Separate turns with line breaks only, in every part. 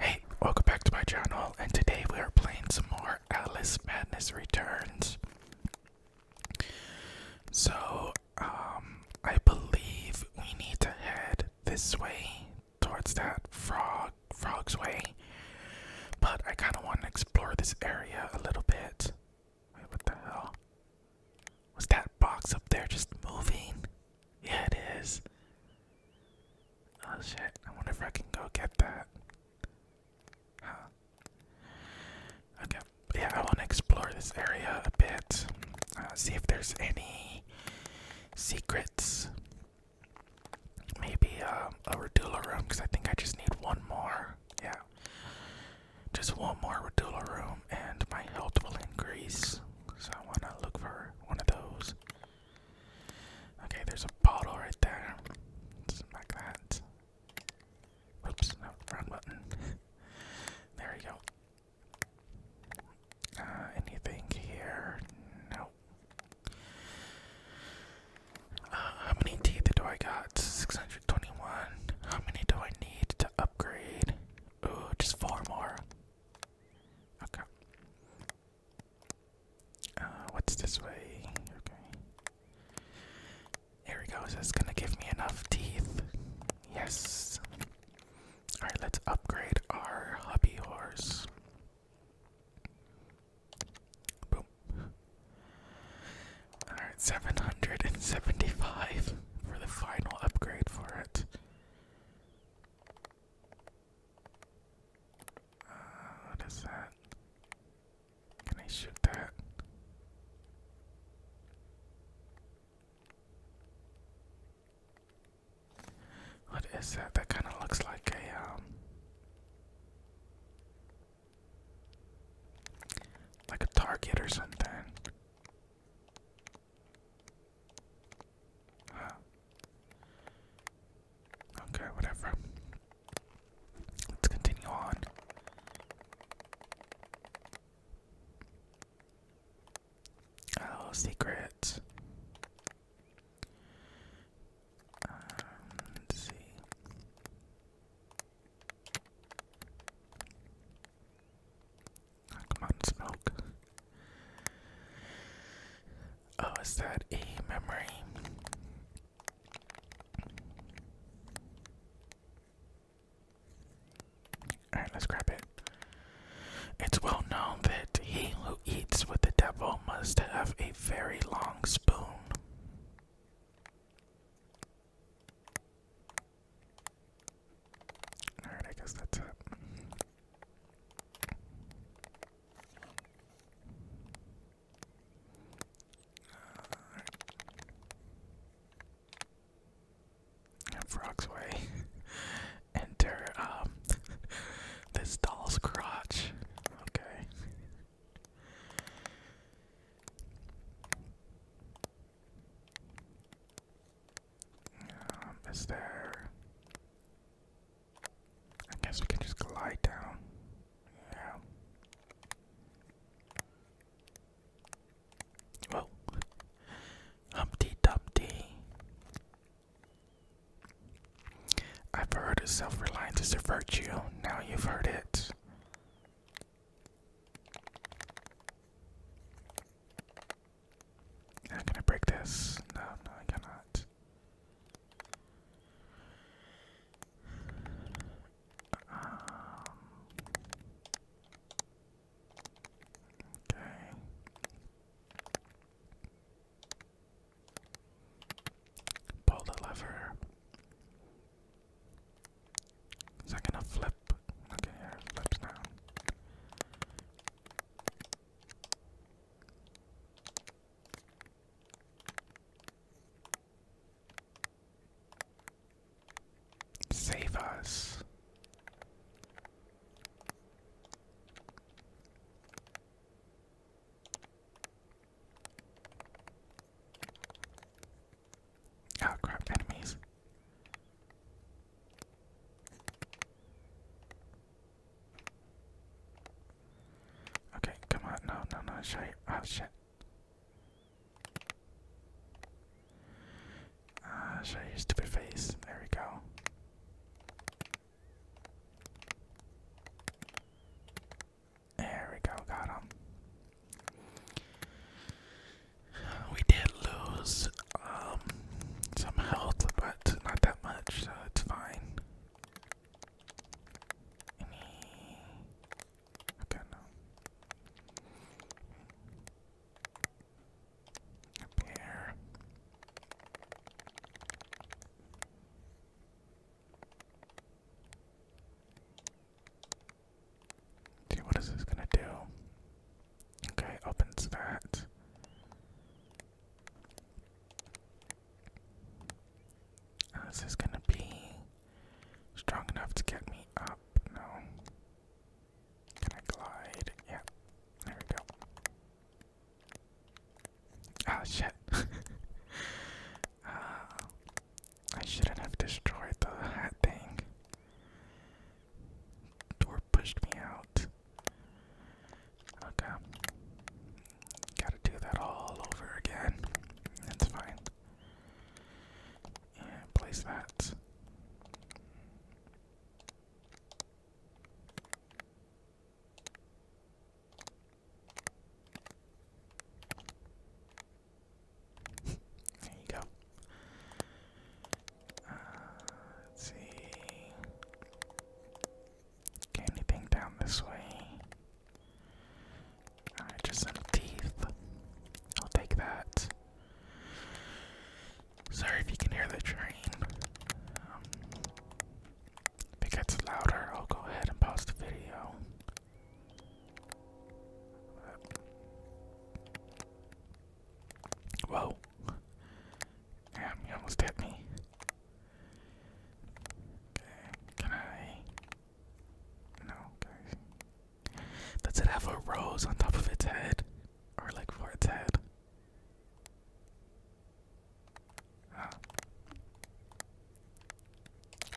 Hey, welcome back to my channel, and today we are playing some more Alice Madness Returns. So, um, I believe we need to head this way towards that frog, frog's way. But I kind of want to explore this area a little bit. Wait, what the hell? Was that box up there just moving? Yeah, it is. Oh shit, I wonder if I can go get that. Okay, yeah, I want to explore this area a bit. Uh, see if there's any secrets. Maybe a um, a Radula room, because I think I just need one more. Yeah. Just one more Radula room, and my health will increase. So I want to look for one of those. Okay, there's a bottle right there. like that. Oops, no, wrong button. there we go. Uh, anything here? No. Uh, how many teeth do I got? 621. How many do I need to upgrade? Ooh, just four more. Okay. Uh, what's this way? Okay. Here we go. So gonna give me enough teeth. Yes. All right. Let's upgrade our hubby horse. Boom. All right. Seven hundred and seventy-five for the final upgrade for it. Uh, what is that? Can I shoot that? What is that? That kind of looks like a um, like a target or something. Okay, whatever. Let's continue on. Oh, secrets. Um, let's see. Oh, come on, smoke. Oh, is that a memory? Alright, let's grab it. It's well known that he who eats with the devil must have a very long spoon. Alright, I guess that's it. Right. Frog's way. Enter um this doll's crotch. Okay. Um, I guess we can just glide down. Yeah. Well, Humpty Dumpty. I've heard of self-reliance is a virtue. Now you've heard it. I'm gonna break this? No, no, I cannot. Um, okay. Pull the lever. Is that gonna flip? Okay, flips now. Save us. Oh crap, enemies. Okay, come on, no, no, no, show you. Oh shit. Ah, uh, show your stupid face. There we go. There we go, got him. We did lose um, some health, but not that much, so it's fine. Any... Okay, Up here. See, what is this gonna do? Okay, opens that. this is gonna be strong enough to get me up. No. Can I glide? Yeah. There we go. oh, shit. Ah, I shouldn't have destroyed the hat thing. Door pushed me out. Okay. Gotta do that all over again. That's fine. place that. there you go let's see. Okay, anything down this way? just some teeth. I'll take that. Sorry if you can hear the train. Um, if it gets louder, I'll go ahead and pause the video. Whoa. Damn, you almost hit me. Okay, can I? No, okay. Does it have a rose on top of its head? Or like for its head? Ah.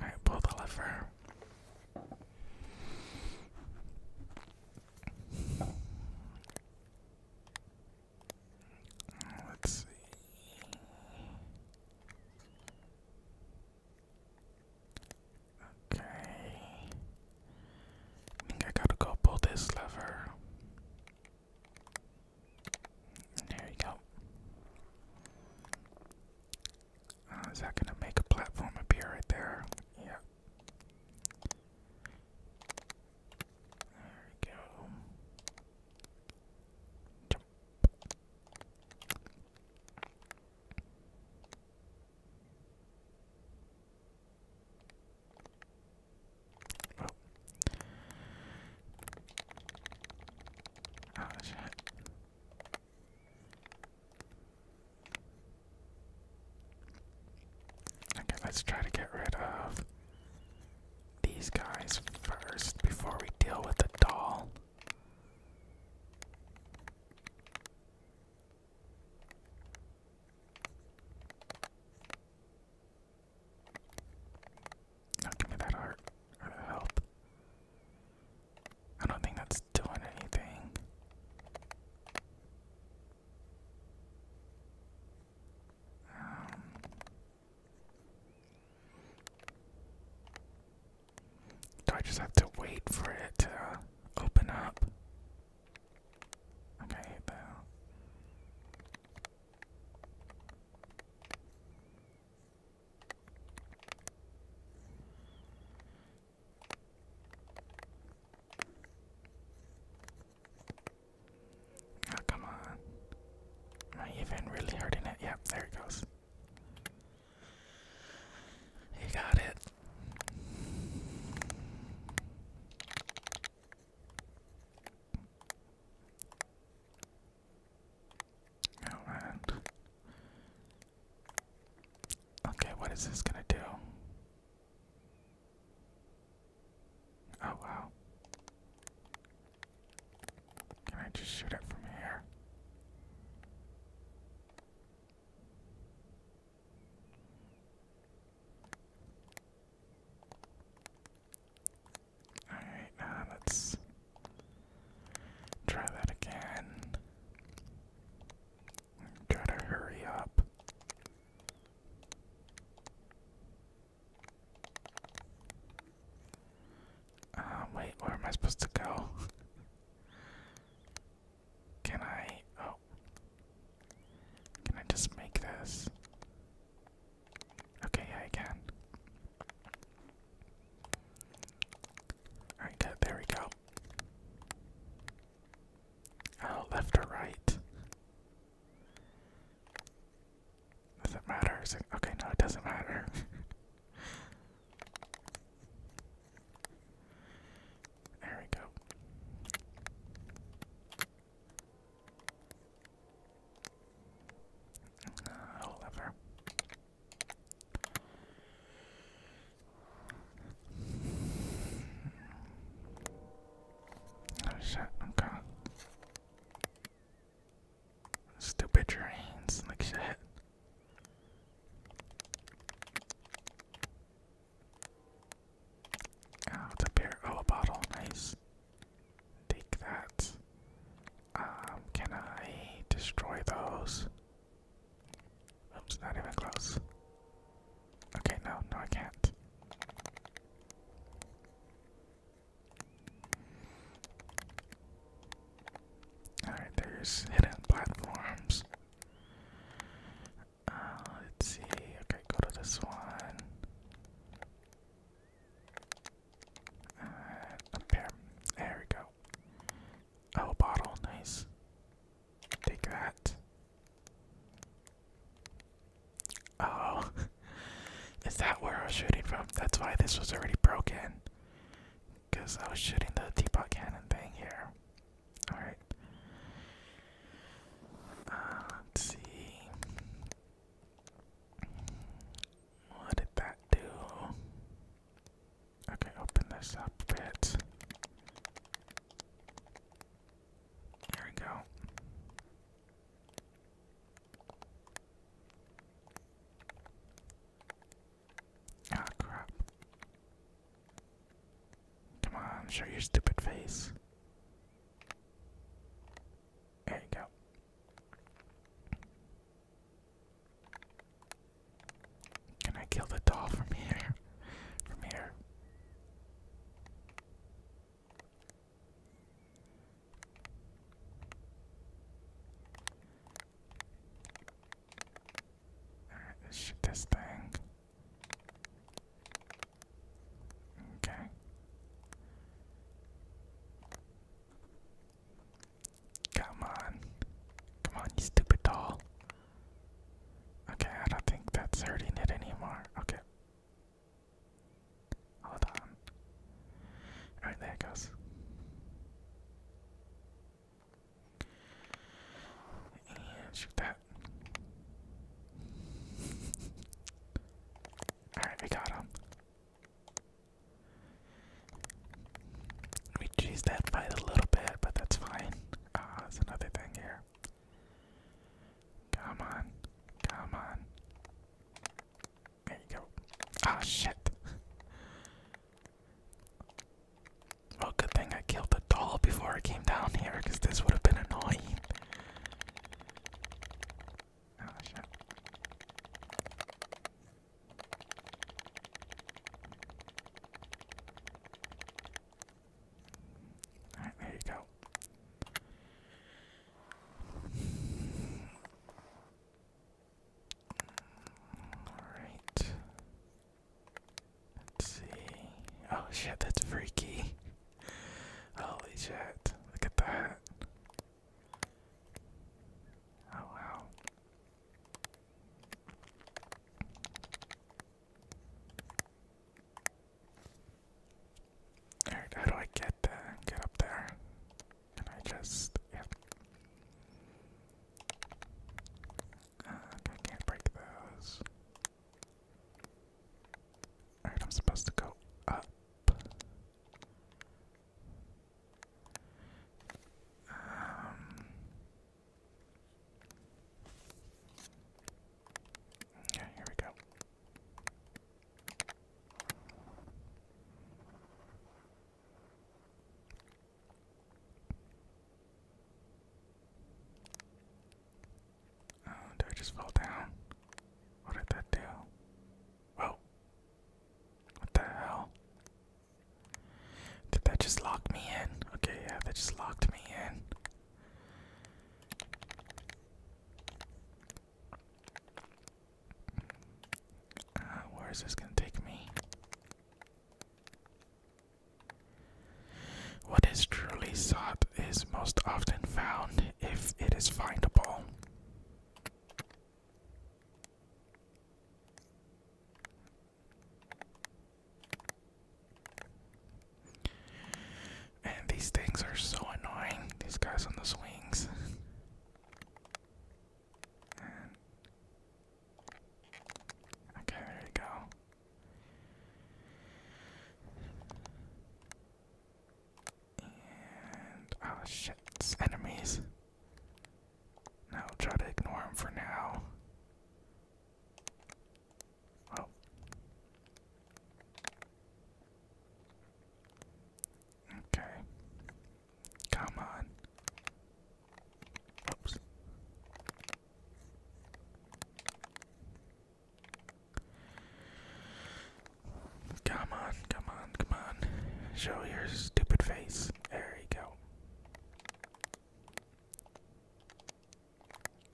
Alright, pull the lever. Let's see. Okay. I think I gotta go pull this lever. There you go. Uh, is that gonna make a platform appear right there? Yeah. There we go. Oh, oh shit. Okay, let's try to get rid of these guys first before we deal with the doll. Now give me that heart or that health. I don't think that's doing anything. Um, do I just have to wait for it to open up? Okay, Oh, come on. Am I even really hurting it? Yep, there it goes. You got it. Oh man. Okay, what is this gonna do? Oh wow. Can I just shoot it from here? Alright, now let's try that again. Gotta hurry up. Um, wait, where am I supposed to go? Can I? Oh. Can I just make this? Okay, yeah, I can. Alright, there we go. Oh, left or right? Does it matter? It, okay, no, it doesn't matter. there we go. Uh, i Oh shit, okay. Stupid trains, like shit. Oh, it's up here. Oh, a bottle, nice. Take that. Um, can I destroy those? Oops, not even close. Okay, no, no, I can't. Alright, there's hidden platforms. Uh, let's see. Okay, go to this one. Uh, There we go. Oh, bottle. Nice. Take that. Oh, is that where I was shooting from? That's why this was already broken. Because I was shooting the teapot cannon thing here. Alright. Uh, see. What did that do? Okay, open this up a bit. There we go. Ah, crap. Come on, show your stupid face. There you go. Can I kill the doll from here? From here shoot this thing. Okay. Come on. Come on, you stupid doll. Okay, I don't think that's hurting it anymore. Okay, Hold on. Alright, there it goes. And shoot that. Alright, we got him. We cheesed that fight a little bit, but that's fine. Ah, it's another thing here. Come on, come on. There you go. oh, shit. Well, good thing I killed the doll before I came down here, because this would have been annoying. Oh, shit. Alright, there you go. Alright. Let's see. Oh shit, that's freaky. Holy shit. Look at that. Oh wow. Alright, how do I get uh, get up there? Can I just uh, I can't break those. Alright, I'm supposed to go up. Um, yeah, here we go. Oh, did I just fall down? What did that do? Whoa. What the hell? Did that just lock me in? Okay, yeah, that just locked me in. Uh, where is this gonna take me? What is truly sought is most often found if it is findable. And these things are so annoying, these guys on the swings. okay, there you go. oh shit, enemies. Now try to ignore them for now. Well. Okay. Come on. Oops. Come on, come on, come on. Show your stupid face. There you go.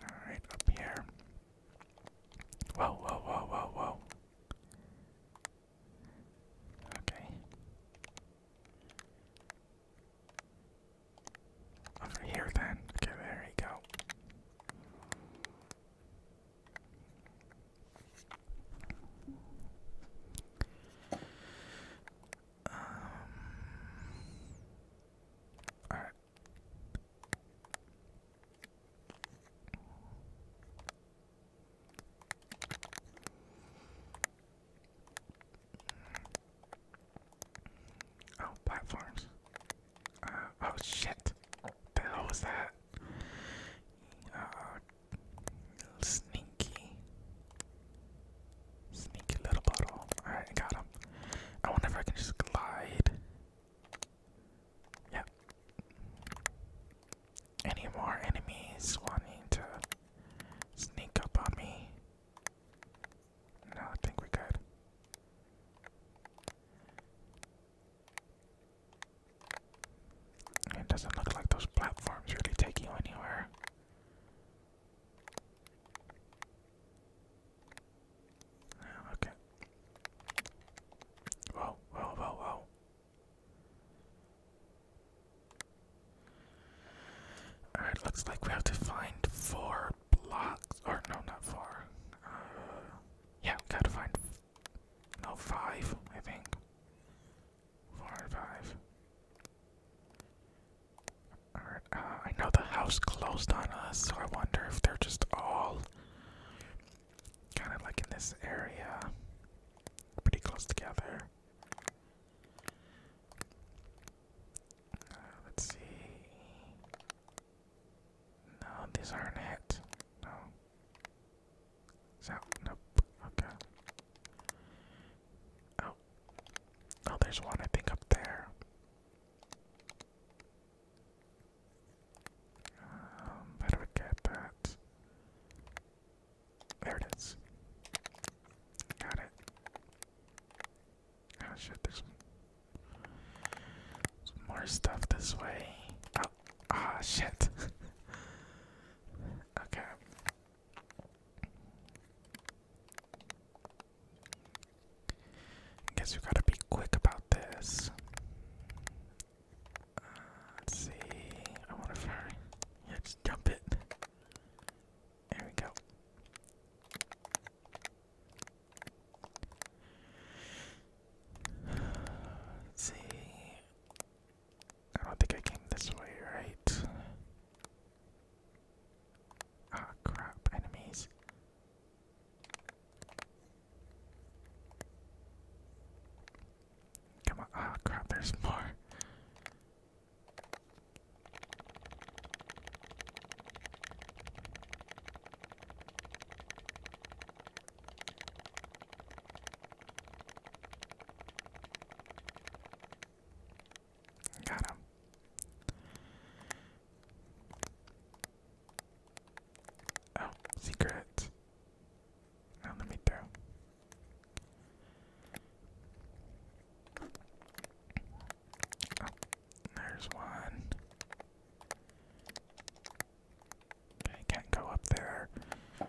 Alright, up here. Whoa, whoa, whoa, whoa, whoa. Okay. Over here then. Okay, there we go. Um, Alright, Oh, platforms. Uh, oh shit. The was that? Uh, sneaky. Sneaky little bottle. Alright, got him. I wonder if I can just glide. Yep. Any more enemies wanting to sneak up on me? No, I think we're good. It doesn't look like those platforms really take you anywhere. Oh, okay. Whoa, whoa, whoa, whoa. Alright, looks like we have to find four blocks. Or, no, not four. Uh, yeah, we gotta find. No, five, I think. Four or five. Alright, uh, I know the house closed on us, so I wonder if they're just all kind of like in this area, pretty close together. Uh, let's see. No, these aren't it. No. Is Nope. Okay. Oh. Oh, there's one, I think, up there. Um, get that? There it is. Got it. Oh shit, there's more stuff this way. Oh, ah, shit. okay. I guess we gotta be quick about this. Uh, let's see. I wonder if her. Yeah, just jump it. There we go. Let's see. I don't think I came this way, right? oh, crap. Enemies. Come on. Ah, crap, there's more. Got him. Oh, secret. Now let me throw. Oh, there's one. Okay, can't go up there. Uh,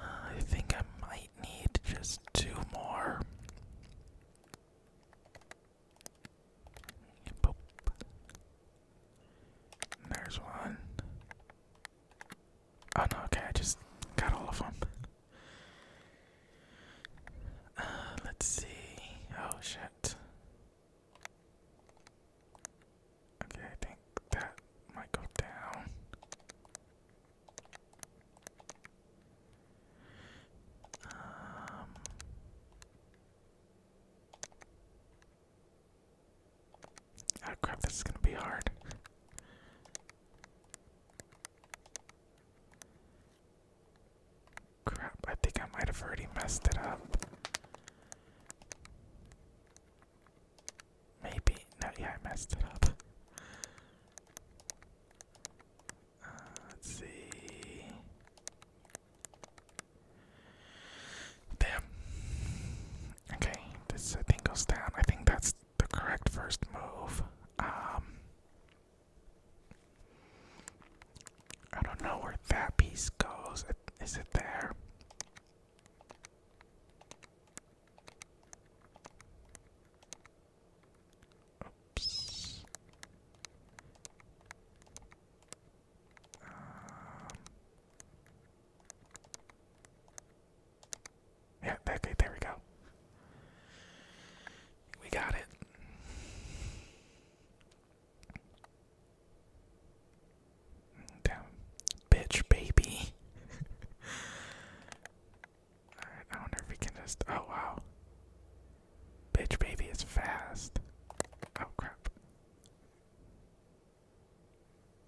I think I might need just two more. There's one. Oh no, okay, I just got all of them. Uh, let's see. Oh shit. Okay, I think that might go down. Um, oh crap, this is gonna be hard. Crap, I think I might have already messed it up. Maybe, no, yeah, I messed it up let's see. Damn. Okay, this I goes down. I think that's the correct first move. Um, I don't know where that piece goes. Is it there? Um, yeah, that, there we go. We got it. Down, bitch, baby. Alright, I wonder if we can just. Oh, wow. Bitch baby is fast. Oh crap.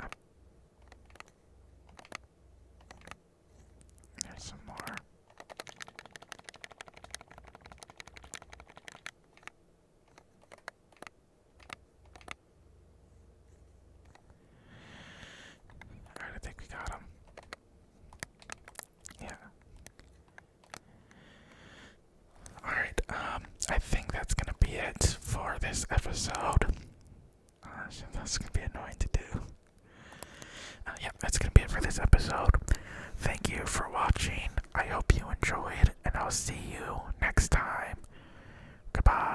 Um. There's some more. Alright, I think we got him. Yeah. Alright, um, I think that's gonna be it for this episode. Uh, that's gonna be annoying to do. Uh, yeah, that's gonna be it for this episode. Thank you for watching. I hope you enjoyed, and I'll see you next time. Goodbye.